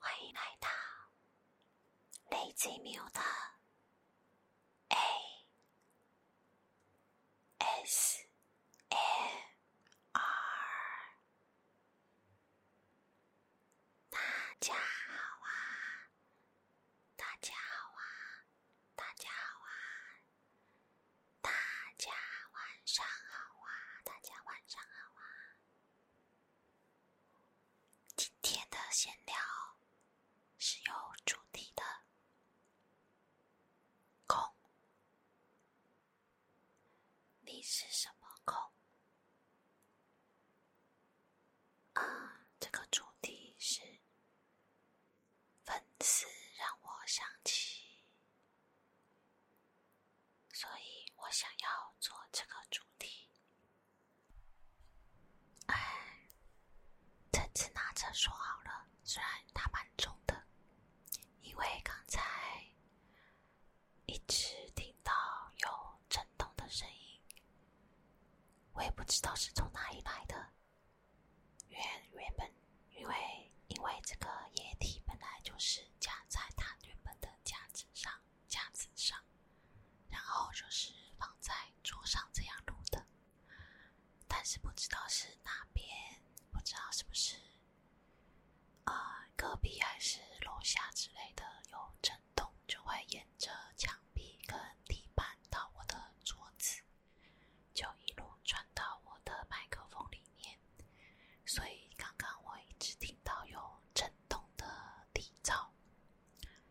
欢迎来到雷兹缪的 S F R，大家好啊！大家好啊！大家好啊！大家晚上好啊！大家晚上好啊！今天的闲聊是有主题的。你是什么空？啊，这个主题是粉丝让我想起，所以我想要做这个主题。哎，这次拿着说好了，虽然他蛮重的。因为刚才一直听到有震动的声音，我也不知道是从哪里来的。原原本因为因为这个液体本来就是架在它原本的架子上，架子上，然后就是放在桌上这样录的，但是不知道是哪边，不知道是不是。啊，隔壁还是楼下之类的有震动，就会沿着墙壁跟地板到我的桌子，就一路传到我的麦克风里面。所以刚刚我一直听到有震动的底噪，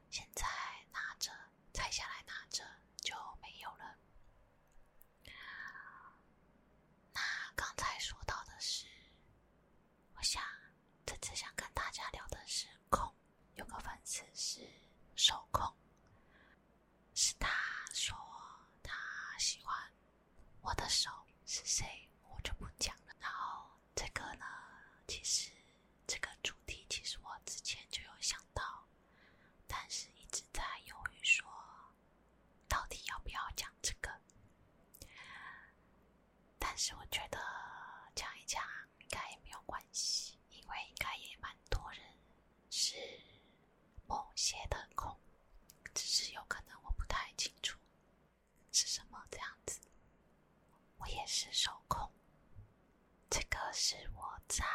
现在拿着拆下来拿着就没有了。那刚才说到的是，我想这次想跟大家聊的是控，有个粉丝是手控，是他说他喜欢我的手是谁，我就不讲了。然后这个呢，其实这个主题其实我之前就有想到，但是一直在犹豫说。到底要不要讲这个？但是我觉得讲一讲应该也没有关系，因为应该也蛮多人是某些的空，只是有可能我不太清楚是什么这样子。我也是手控，这个是我在，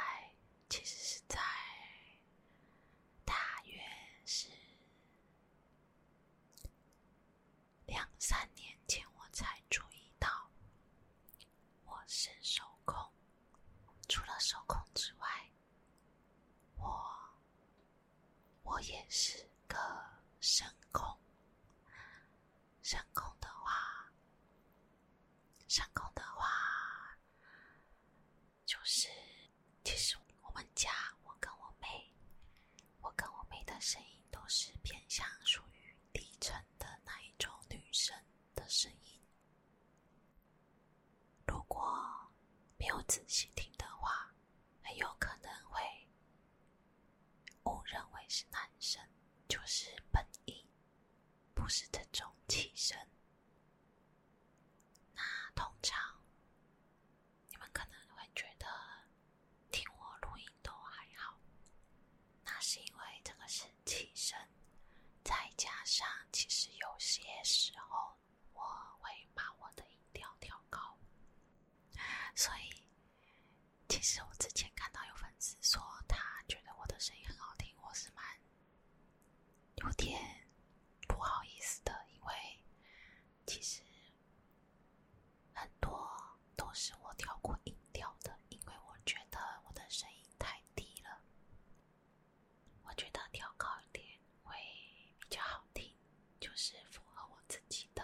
其实是在。大约是两三年前，我才注意到我是手控。除了手控之外，我我也是个声控。声控的话。上空的话，就是其实我们家我跟我妹，我跟我妹的声音都是偏向属于低沉的那一种女生的声音。如果没有仔细听的话，很有可能会误认为是男生，就是本音。不是这种气声。那通常，你们可能会觉得听我录音都还好，那是因为这个是气声，再加上其实有些时候我会把我的音调调高，所以其实我之前看到有粉丝说他觉得我的声音很好听，我是蛮。有点不好意思的，因为其实很多都是我调过音调的，因为我觉得我的声音太低了，我觉得调高一点会比较好听，就是符合我自己的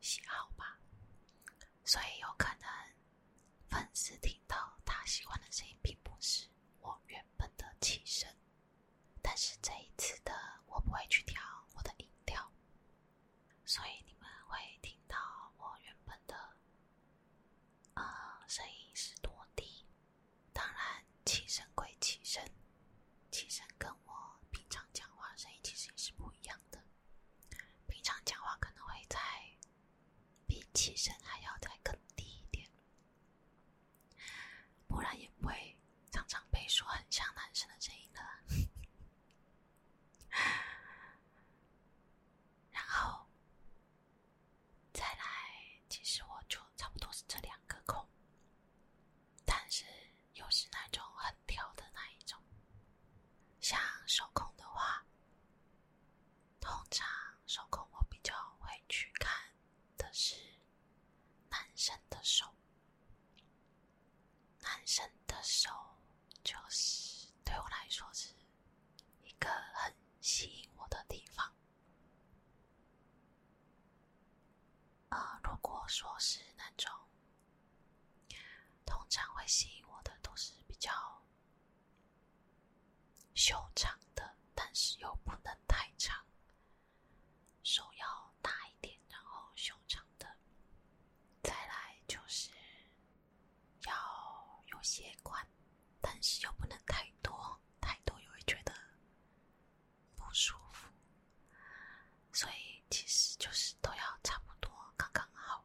喜好吧，所以有可能。粉丝听到他喜欢的声音，并不是我原本的气声，但是这一次的我不会去调我的音调，所以你们会听到我原本的，呃，声音是多低？当然，气声归气声，气声跟我平常讲话声音其实也是不一样的，平常讲话可能会在。比起声还要再更低一点，不然也不会常常被说很像男生的声音了。然后，再来，其实我就差不多是这两个孔，但是又是那种很挑的那一种，像手控的话。通常手工我比较会去看的是男生的手，男生的手就是对我来说是一个很吸引我的地方。呃，如果说是那种通常会吸引我的，都是比较。修长的，但是又不能太长，手要大一点，然后修长的，再来就是要有些宽，但是又不能太多，太多又会觉得不舒服，所以其实就是都要差不多，刚刚好。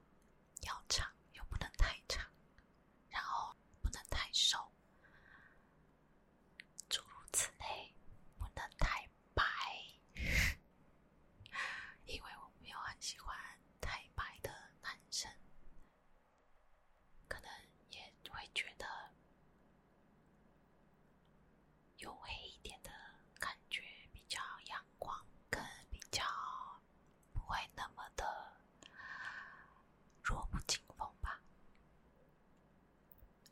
要长又不能太长，然后不能太瘦，诸如此类，不能太白，因为我没有很喜欢太白的男生，可能也会觉得有黑一点的感觉比较阳光，更比较。不会那么的弱不禁风吧？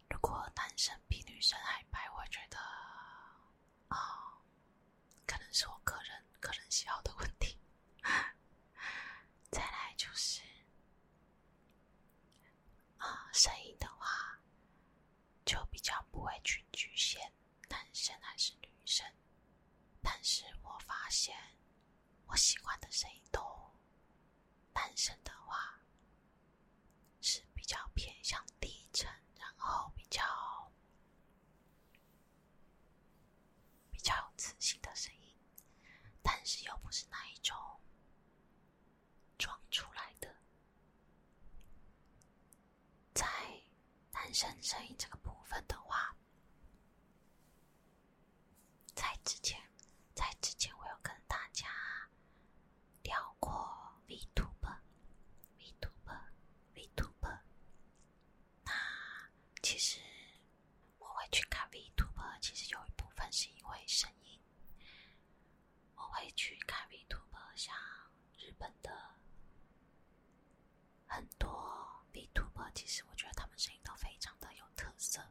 如果男生比女生还白，我觉得啊，可能是我个人个人喜好的问题。再来就是声音的话就比较不会去局限。男生还是女生？但是我发现，我喜欢的声音都，男生的话是比较偏向低沉，然后比较比较有磁性的声音，但是又不是那一种装出来的。在男生声音这个部分的话，在之前，在之前，我有跟大家聊过 Vtuber、Vtuber、Vtuber。那其实我会去看 Vtuber，其实有一部分是因为声音，我会去看 Vtuber 像。日本的很多 Vtuber，其实我觉得他们声音都非常的有特色，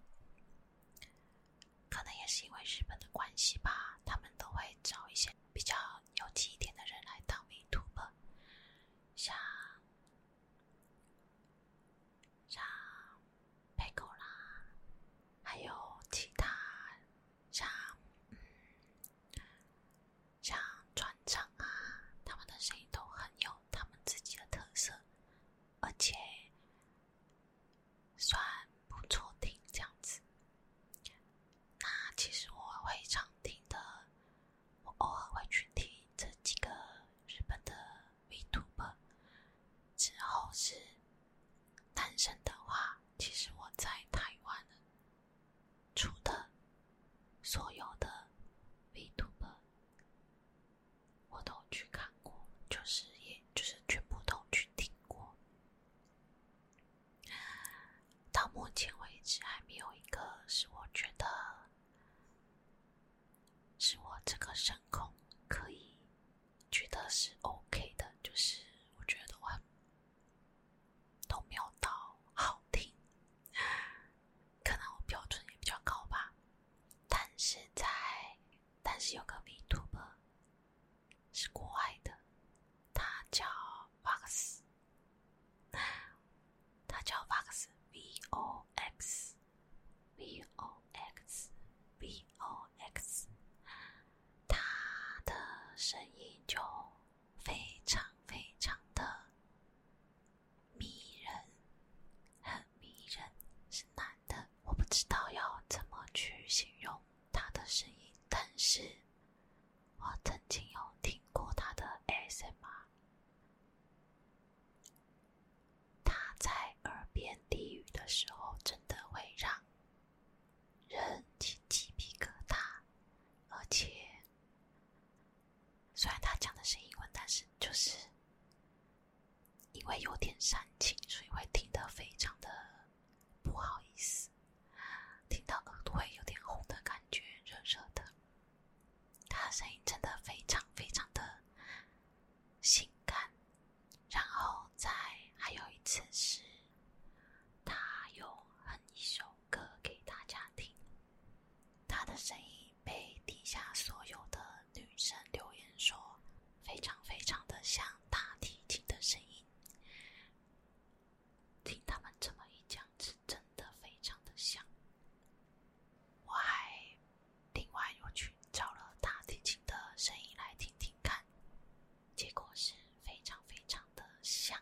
可能也是因为日本的关系吧，他们都会找一些比较有忆点的人来当 Vtuber，像像 p e g o 啦，还有其他像嗯。像转场啊，他们的声音都很有他们自己的特色，而且算不错听这样子。那其实我会常听的，我偶尔会去听这几个日本的 v t u b 之后是单身的话，其实我在台湾。出的所有的 Vtuber，我都去看过，就是也就是全部都去听过。到目前为止，还没有一个是我觉得是我这个声控可以觉得是 OK 的，就是我觉得话。都没有到好听，可能我标准也比较高吧。但是在，但是有个 Vtuber 是国外的，他叫 Vox，他叫 Vox，V O X，V O X，V O X，他的声音就。非常非常的迷人，很迷人，是男的，我不知道要怎么去形容他的声音，但是我曾经有听过他的 SMR，他在耳边低语的时候，真的会让。人起鸡皮疙瘩，而且虽然他讲的是英文，但是就是因为有点煽情，所以会听得非常的不好意思，听到耳朵会有点红的感觉，热热的。他声音真的非常非常的性感，然后再还有一次是。他有哼一首歌给大家听，他的声音被底下所有的女生留言说，非常非常的像大提琴的声音。听他们这么一讲，是真的非常的像。我还另外又去找了大提琴的声音来听听看。结果是非常非常的像，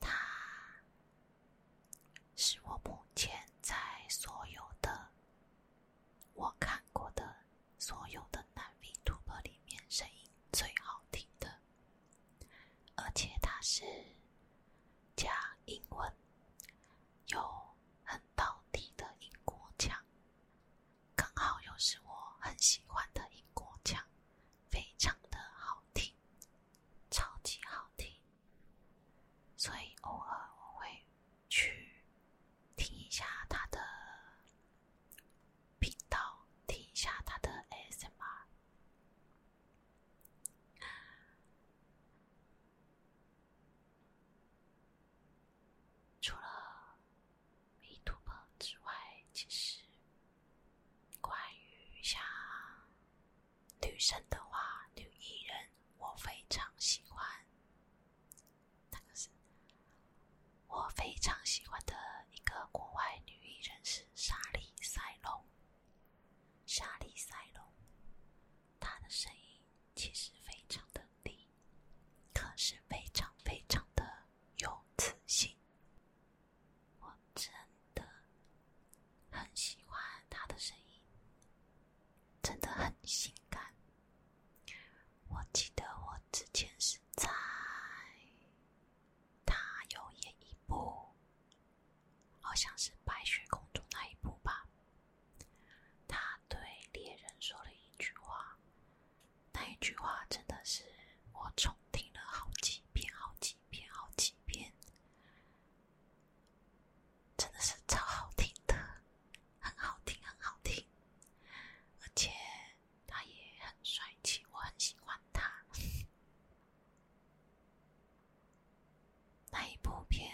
他是我目前在所有的我看过的所有的男 v 主播里面声音最好听的，而且他是讲英文，有很到底的英国腔。刚好又是我很喜欢的英国腔，非常的好听，超级好听。所以偶尔我会去听一下他的频道，听一下他的 S M R。除了。没突破之外，其实关于像女生的话，女艺人我非常喜欢。那个是我非常喜欢的一个国外女艺人是莎莉·赛隆。莎莉·赛隆，她的声音其实非常的。你可是非常非常的有磁性，我真的很喜欢他的声音，真的很性感。我记得我之前是在他有演一部，好像是《白雪公主》那一部吧，他。对猎人说了一句话，那一句话真的是我重听了好几遍、好几遍、好几遍，真的是超好听的，很好听、很好听，而且他也很帅气，我很喜欢他。那一部片，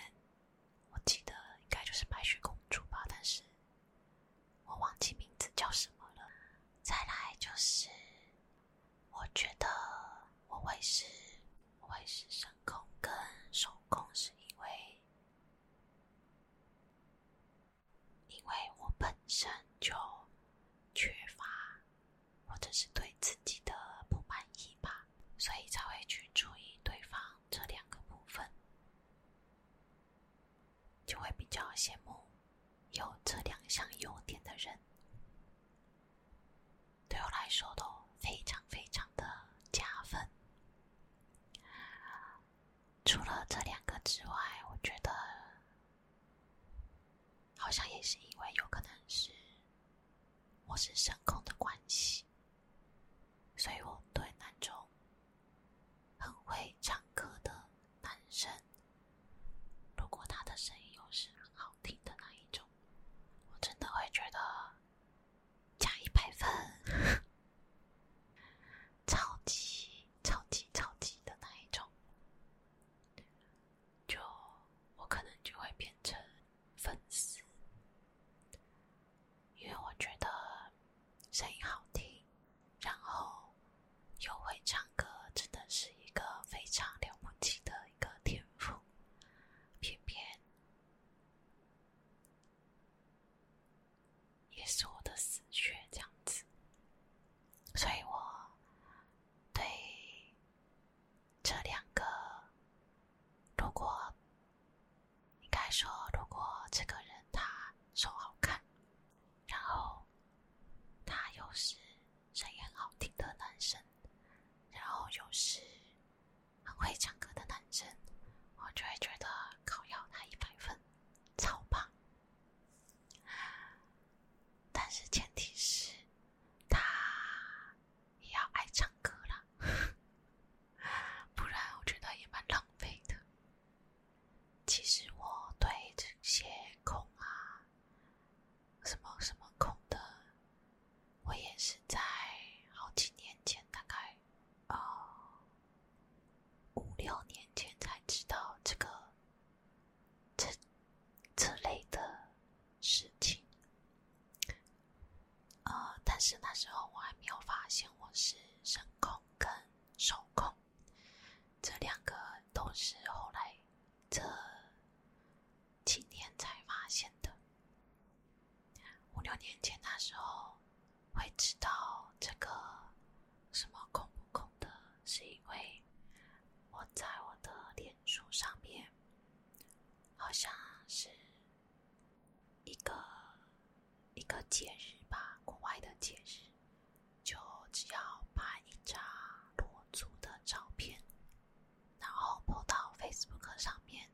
我记得应该就是《白雪公主》吧，但是。我忘记名字叫什么了。再来就是，我觉得我会是，我会是神空跟手控，是因为，因为我本身就缺乏，或者是对自己的不满意吧，所以才会去注意对方这两个部分。就会比较羡慕有这两项优点的人。对我来说都非常非常的加分。除了这两个之外，我觉得好像也是因为有可能是我是声空的关系。所以，我对那种很会唱歌的男生，如果他的声音又是很好听的那一种，我真的会觉得加一百分，超级超级超级的那一种，就我可能就会变成粉丝。因为我觉得声音好听，然后又会唱歌，真的是一个非常了不起的一个天赋。偏偏也是我的死穴，这样子，所以我对这两个如果。应该说，如果这个人他手好看，然后他又是声音很好听的男生，然后又是很会唱歌的男生，我就会觉得考要他一百分，超棒。但是前提是他也要爱唱歌啦。不然我觉得也蛮浪费的。其实我对这些空啊、什么什么空的，我也是在好几年前，大概啊五六年前才知道这个这这类的事情。呃，但是那时候我还没有发现我是声控跟手控，这两个都是后来这几年才发现的。五六年前那时候会知道这个什么控不控的，是因为我在我的脸书上面，好像是。一个一个节日吧，国外的节日，就只要拍一张裸足的照片，然后 po 到 Facebook 上面，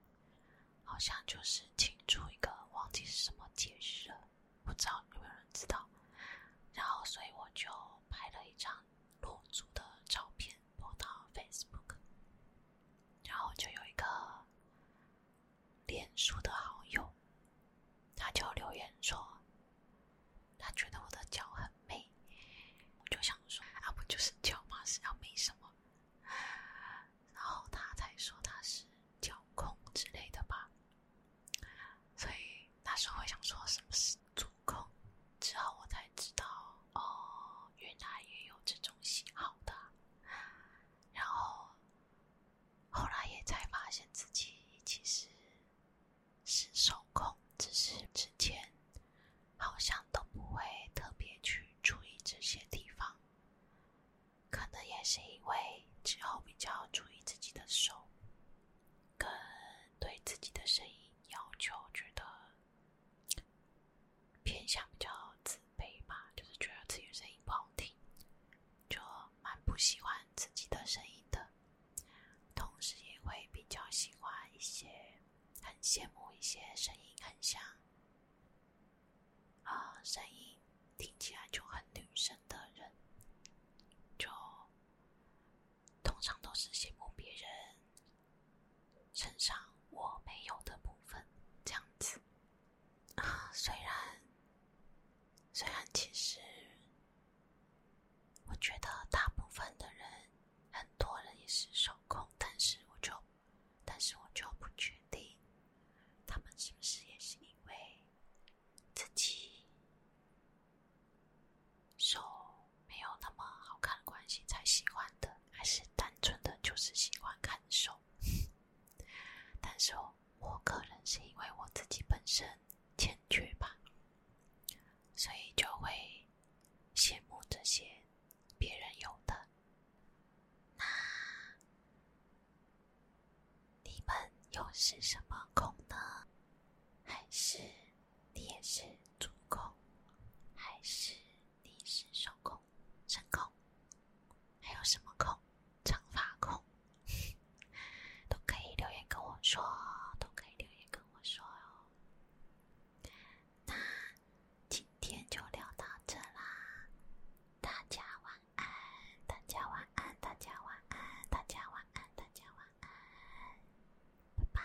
好像就是庆祝一个忘记是什么节日了，不知道有没有人知道。然后，所以我就拍了一张裸足的照片 po 到 Facebook，然后就有一个。脸书的好友，他就留言说：“他觉得我的脚很美。”我就想说：“啊，不就是脚吗？是要美什么？”然后他才说他是脚控之类的吧。所以那时候想说什么是足控，之后我才知道哦，原来也有这种喜好。的。然后，后来也才发现自己其实是受控，只是之前好像都不会特别去注意这些地方。可能也是因为之后比较注意自己的手，跟对自己的声音要求，觉得。偏向比较自卑吧，就是觉得自己声音不好听，就蛮不喜欢自己的声音的。同时也会比较喜欢一些，很羡慕一些声音很像，啊，声音听起来就很女生的人，就通常都是羡慕别人。身上我没有的部分，这样子啊。虽然，虽然其实，我觉得大部分的人，很多人也是手控，但是我就，但是我就不确定，他们是不是也是因为自己手没有那么好看的关系才喜欢的。还是单纯的就是喜欢看手，但是我可能是因为我自己本身欠缺吧，所以就会羡慕这些别人有的。那你们又是什么功呢？还是你也是主控，还是你是手控？真空，还有什么空？长发空 都可以留言跟我说，都可以留言跟我说哦。那今天就聊到这啦，大家晚安，大家晚安，大家晚安，大家晚安，大家晚安，拜拜。